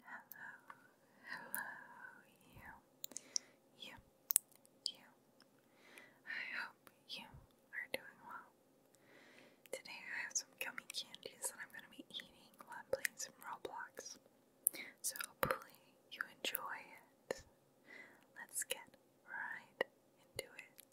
Hello, hello, you, you, you. I hope you are doing well. Today I have some gummy candies that I'm going to be eating while I'm playing some Roblox. So hopefully you enjoy it. Let's get right into it.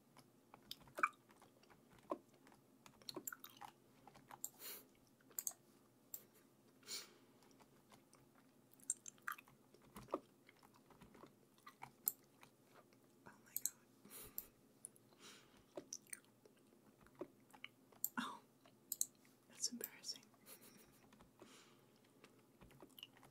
Oh my god. Oh, that's embarrassing.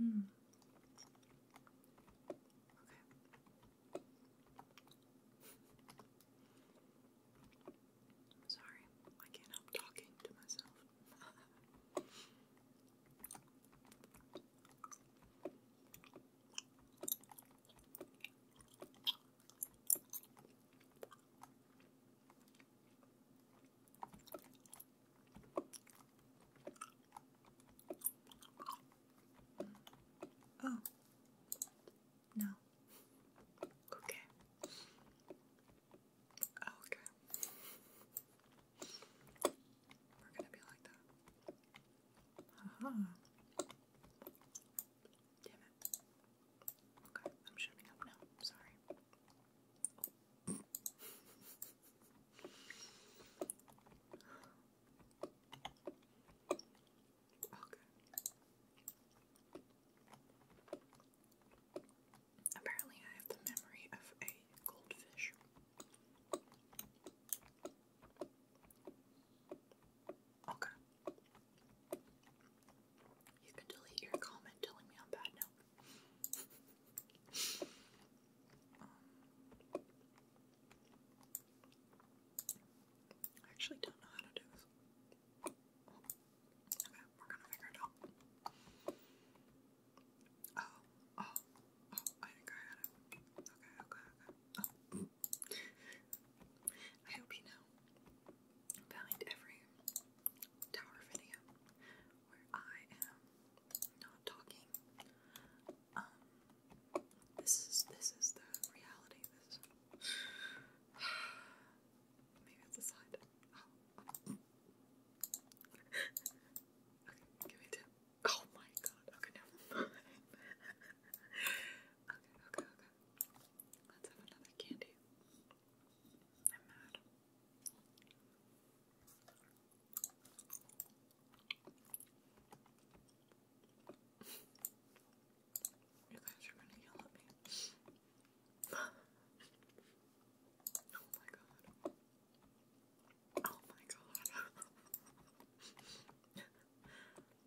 Mm. Okay. sorry, I can't help talking to myself. Oh, no. Okay. Oh, okay. We're gonna be like that. Uh -huh. Damn it. Okay, I'm shutting up now. Sorry. okay. Apparently, I have the memory of a goldfish. Okay, you can delete your comment telling me i bad now. Um, I actually don't know how to do this. Okay, we're gonna figure it out. Oh, oh, oh, I think I had it. Okay, okay, okay. Oh. I hope you know behind every tower video where I am not talking. Um, this is this is the reality. maybe it's a side. Oh. okay, give me a Oh my god. Okay, never okay, okay, okay, Let's have another candy. I'm mad. You guys are gonna yell at me. oh my god. Oh my god.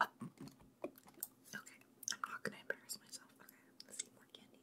Uh, okay, I'm not gonna embarrass myself. Okay, let's eat more candy.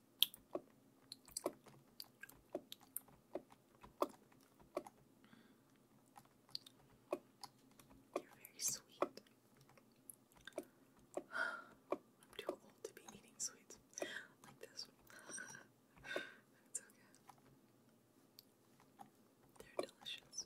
You're very sweet. I'm too old to be eating sweets like this. it's okay. They're delicious.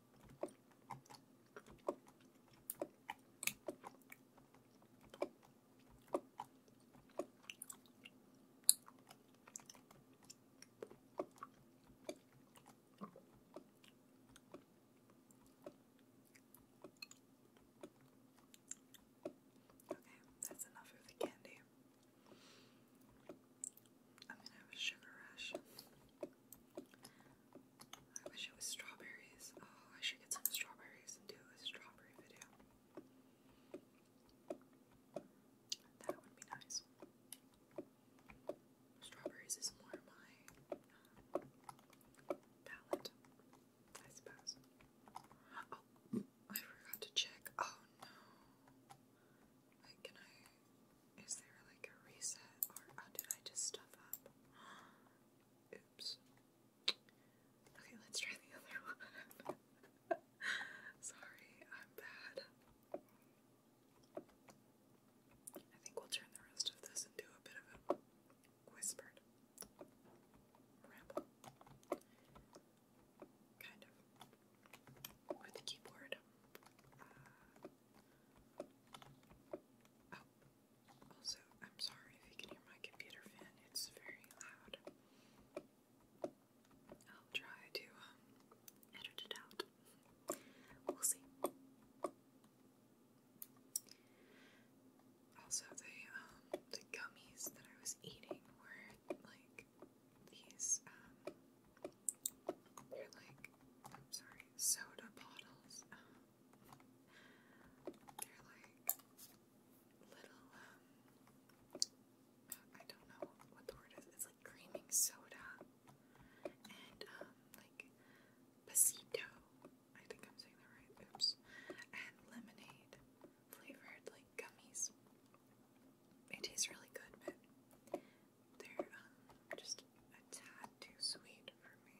Okay, that's enough of the candy. I'm gonna have a sugar rush. I wish it was strawberries. Oh, I should get some strawberries and do a strawberry video. That would be nice. Strawberries is more my uh, palette, I suppose. Oh, I forgot to check. Oh no. can I. Is there like a reset or oh, did I just stuff up? Oops. Okay, let's try the other one. Sorry, I'm bad. I think we'll turn the rest of this into a bit of a whispered ramble. Kind of. With the keyboard. Uh, Oh, also, I'm sorry if you can hear my computer fan, it's very loud. I'll try to um, edit it out. We'll see. Also, the um, the gummies that I was eating were like these. Um, they're like I'm sorry, soda bottles. Um, they're like little, um, I don't know what the word is. It's like creaming soda and, um, like pasito. I think I'm saying that right. Oops. And lemonade flavored, like gummies. It tastes really good, but they're um, just a tad too sweet for me.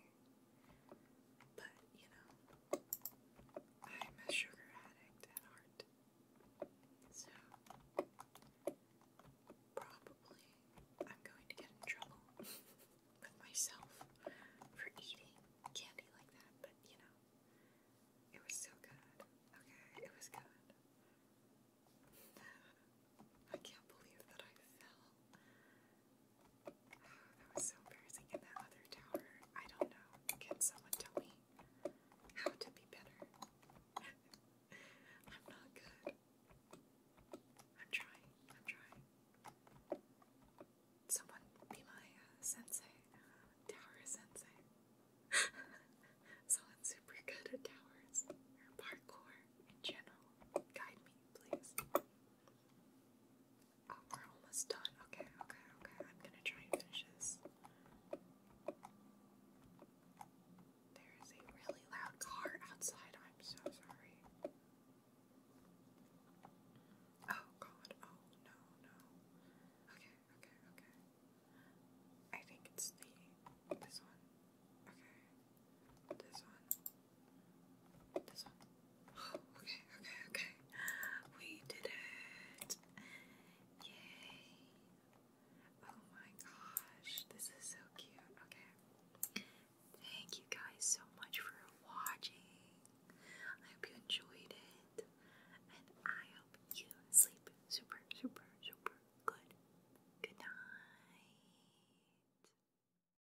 But, you know, I'm a sugar addict at heart. So, probably I'm going to get in trouble with myself for eating candy like that, but you know, it was so good. Okay, it was good. I can't believe that I fell that was so embarrassing. And that other tower, I don't know. Can someone tell me how to be better? I'm not good. I'm trying. I'm trying. Someone be my uh, sensei. tower sensei. Someone's super good at towers or parkour in general. Guide me, please. Oh, we're almost done. Okay, okay, okay. I'm gonna try and finish this. There is a really loud car outside. I'm so sorry. Oh god. Oh no, no. Okay, okay, okay. I think it's the this one. Okay. This one. This one. Oh, okay, okay, okay. We did it. Yay. Oh my gosh. This is so cute. Okay. Thank you guys so much for watching. I hope you enjoyed it. And I hope you sleep super, super, super good. Good night.